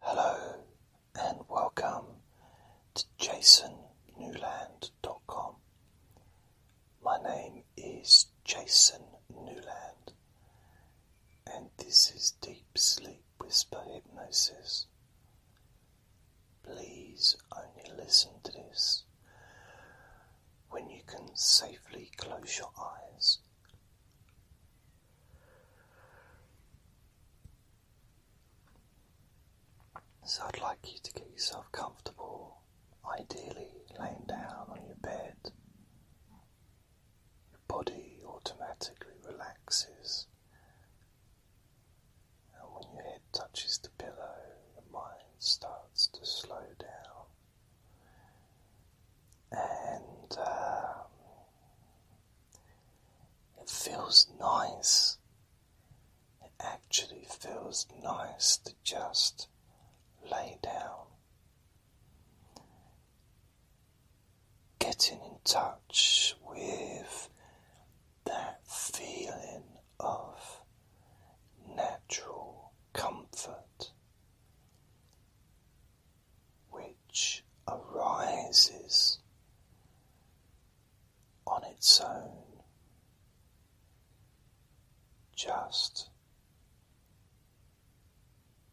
Hello and welcome to jasonnewland.com. My name is Jason Newland, and this is Deep Sleep Whisper Hypnosis. Please only listen to this when you can safely close your eyes. So I'd like you to get yourself comfortable, ideally laying down on your bed. Your body automatically relaxes, and when your head touches the pillow, your mind starts to slow down. And um, it feels nice. It actually feels nice to just lay down. Getting in touch with that feeling of natural comfort which arises on its own, just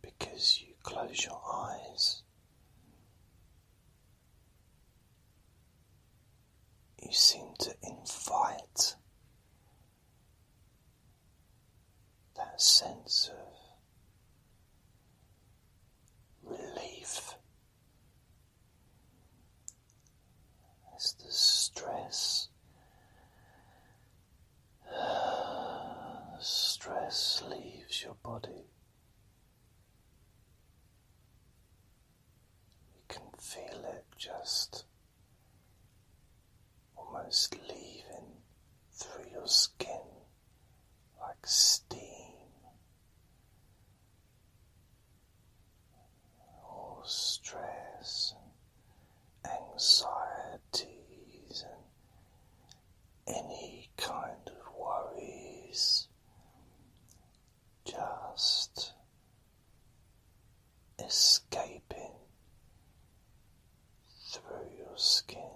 because you close your eyes. You seem to invite that sense of relief as the stress the stress leaves your body. You can feel it just almost leaving through your skin like steam. All stress anxieties and any kind of worries just escaping through your skin.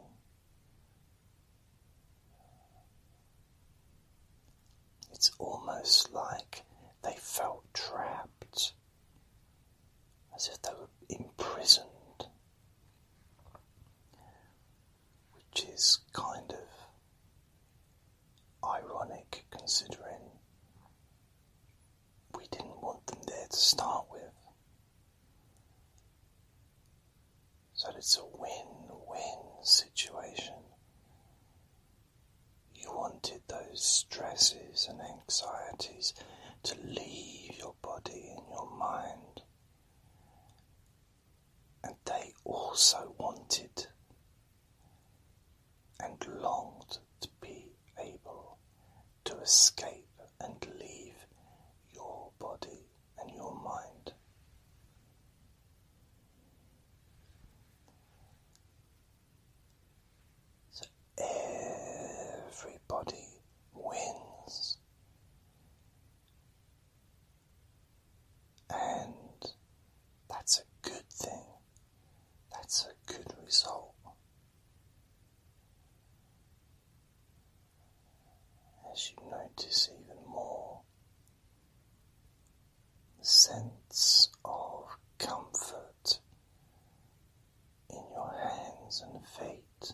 It's almost like they felt trapped, as if they were imprisoned, which is kind of ironic considering we didn't want them there to start with. So it's a win win situation. You wanted those stresses and anxieties to leave your body and your mind, and they also wanted and longed to be able to escape and leave your body and your mind. So everybody wins. And that's a good thing. That's a good result. As you notice even more sense of comfort in your hands and feet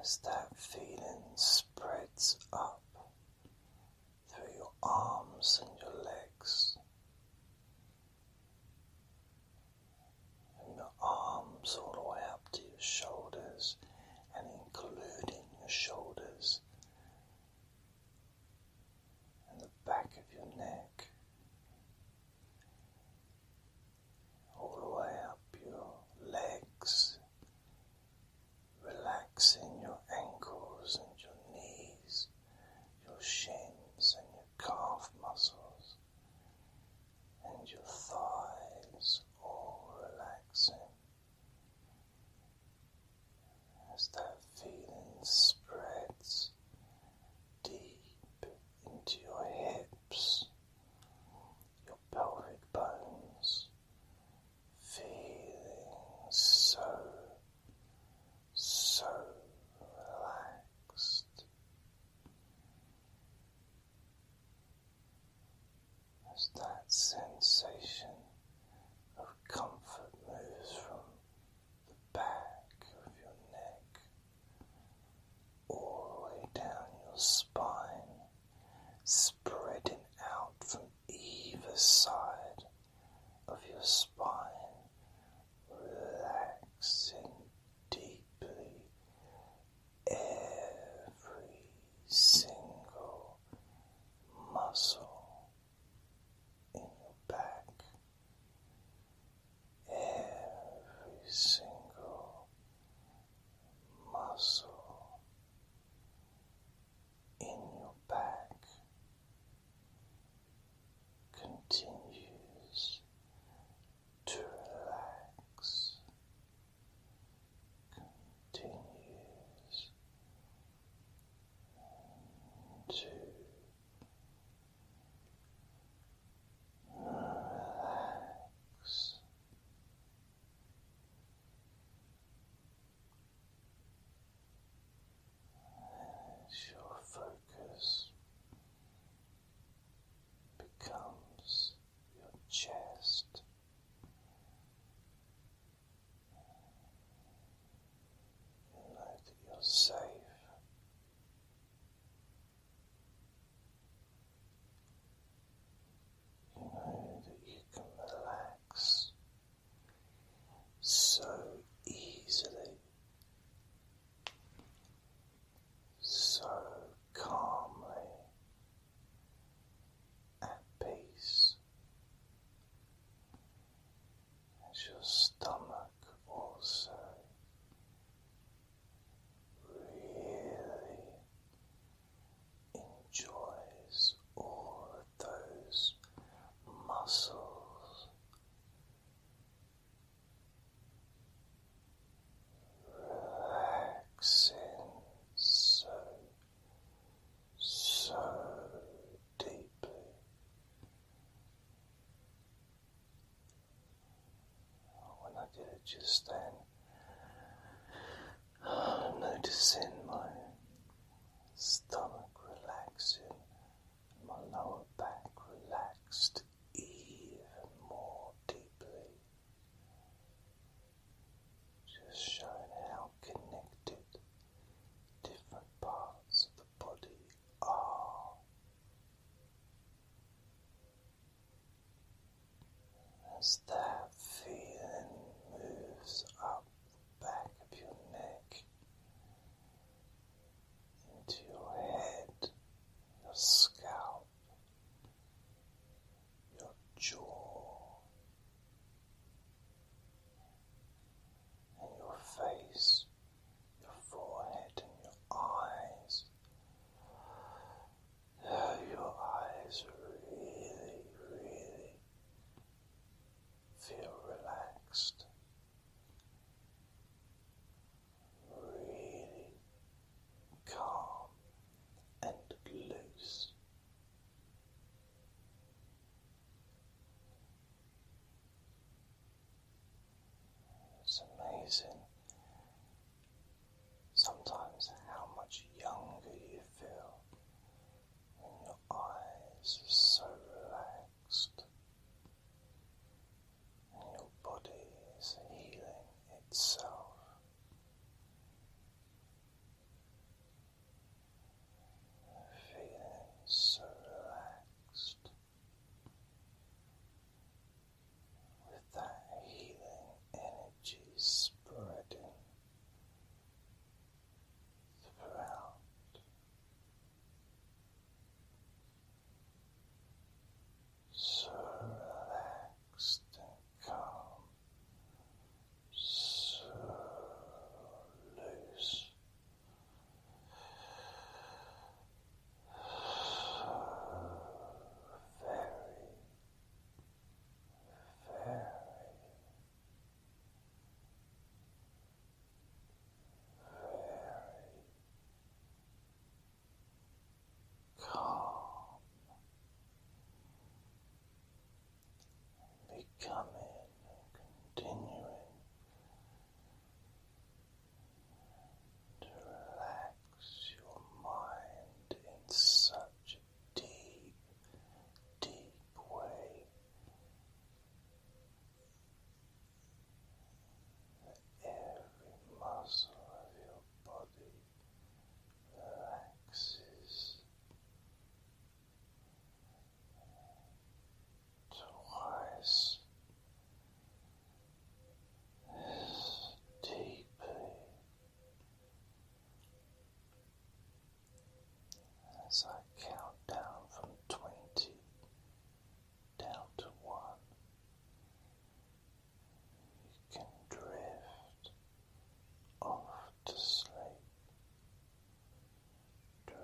as that feeling spreads up through your arms and your legs. and your arms all the way up to your shoulders and including your shoulders and the back of your neck, all the way up your legs, relaxing your ankles and your knees, your shins and your calf muscles and your thighs all relaxing as that feeling spreads deep into your hips, your pelvic bones, feeling so so relaxed as that sensation of comfort moves from the back of your neck all the way down your spine, spreading out from either side of your spine, relaxing deeply every single muscle in your back, every single muscle in your back continues to relax, continues to relax. As your focus becomes your chest. You know that you're safe. You know that you can relax so easily, so calmly at peace your stomach also really enjoys all of those muscles relaxing so, so deeply. When I did it just then, Noticing my stomach relaxing, my lower back relaxed even more deeply. Just showing how connected different parts of the body are as that feeling moves up the back of your neck into your head, your scalp, your jaw, and your face, your forehead, and your eyes your eyes really, really feel relaxed, really calm and loose. It's amazing Sometimes how much younger you feel when your eyes are so relaxed and your body is healing itself. Feeling so relaxed with that healing energy energy spreading throughout. So relaxed and calm, so loose, so very very calm and becoming and continuing to relax your mind in such a deep, deep way every muscle of your body relaxes twice. As deeply as I count down from twenty down to one, you can drift off to sleep, drift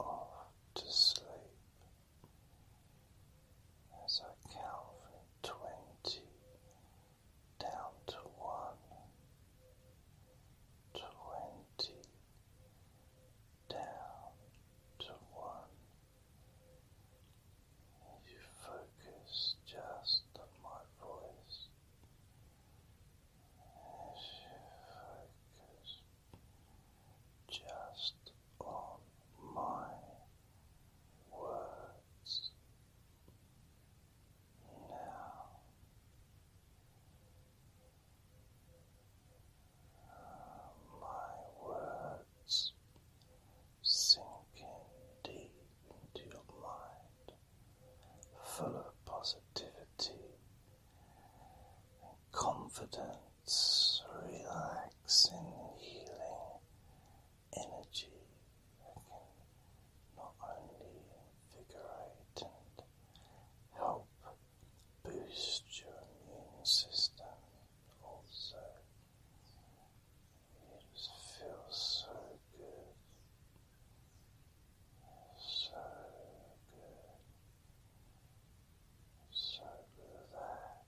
off to sleep as I count from twenty down to one, twenty down to one. you focus just on my voice, if you focus just on my words now. my words sinking deep into your mind, full of positivity and confidence its relaxing, healing energy that can not only invigorate and help boost your immune system, also it just feels so good. So good, so relaxed.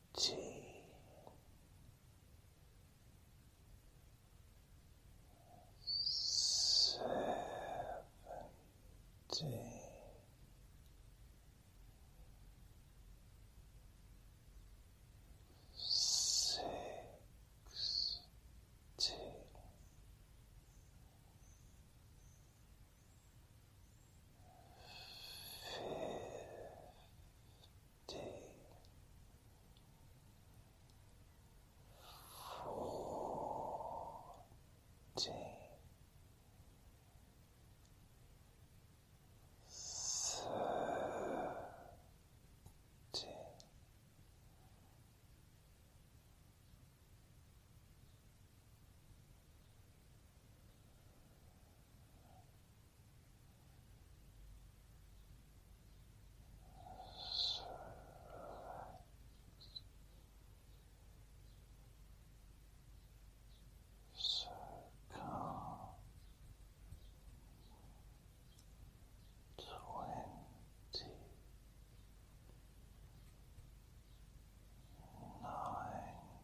seventeen. Sixteen fifty fourteen thirteen Twenty so relaxed. calm. Twenty nine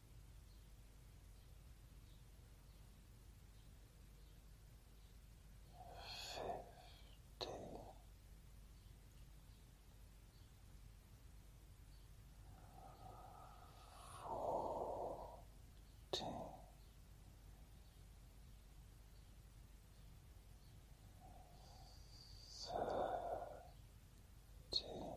fifty forty thirty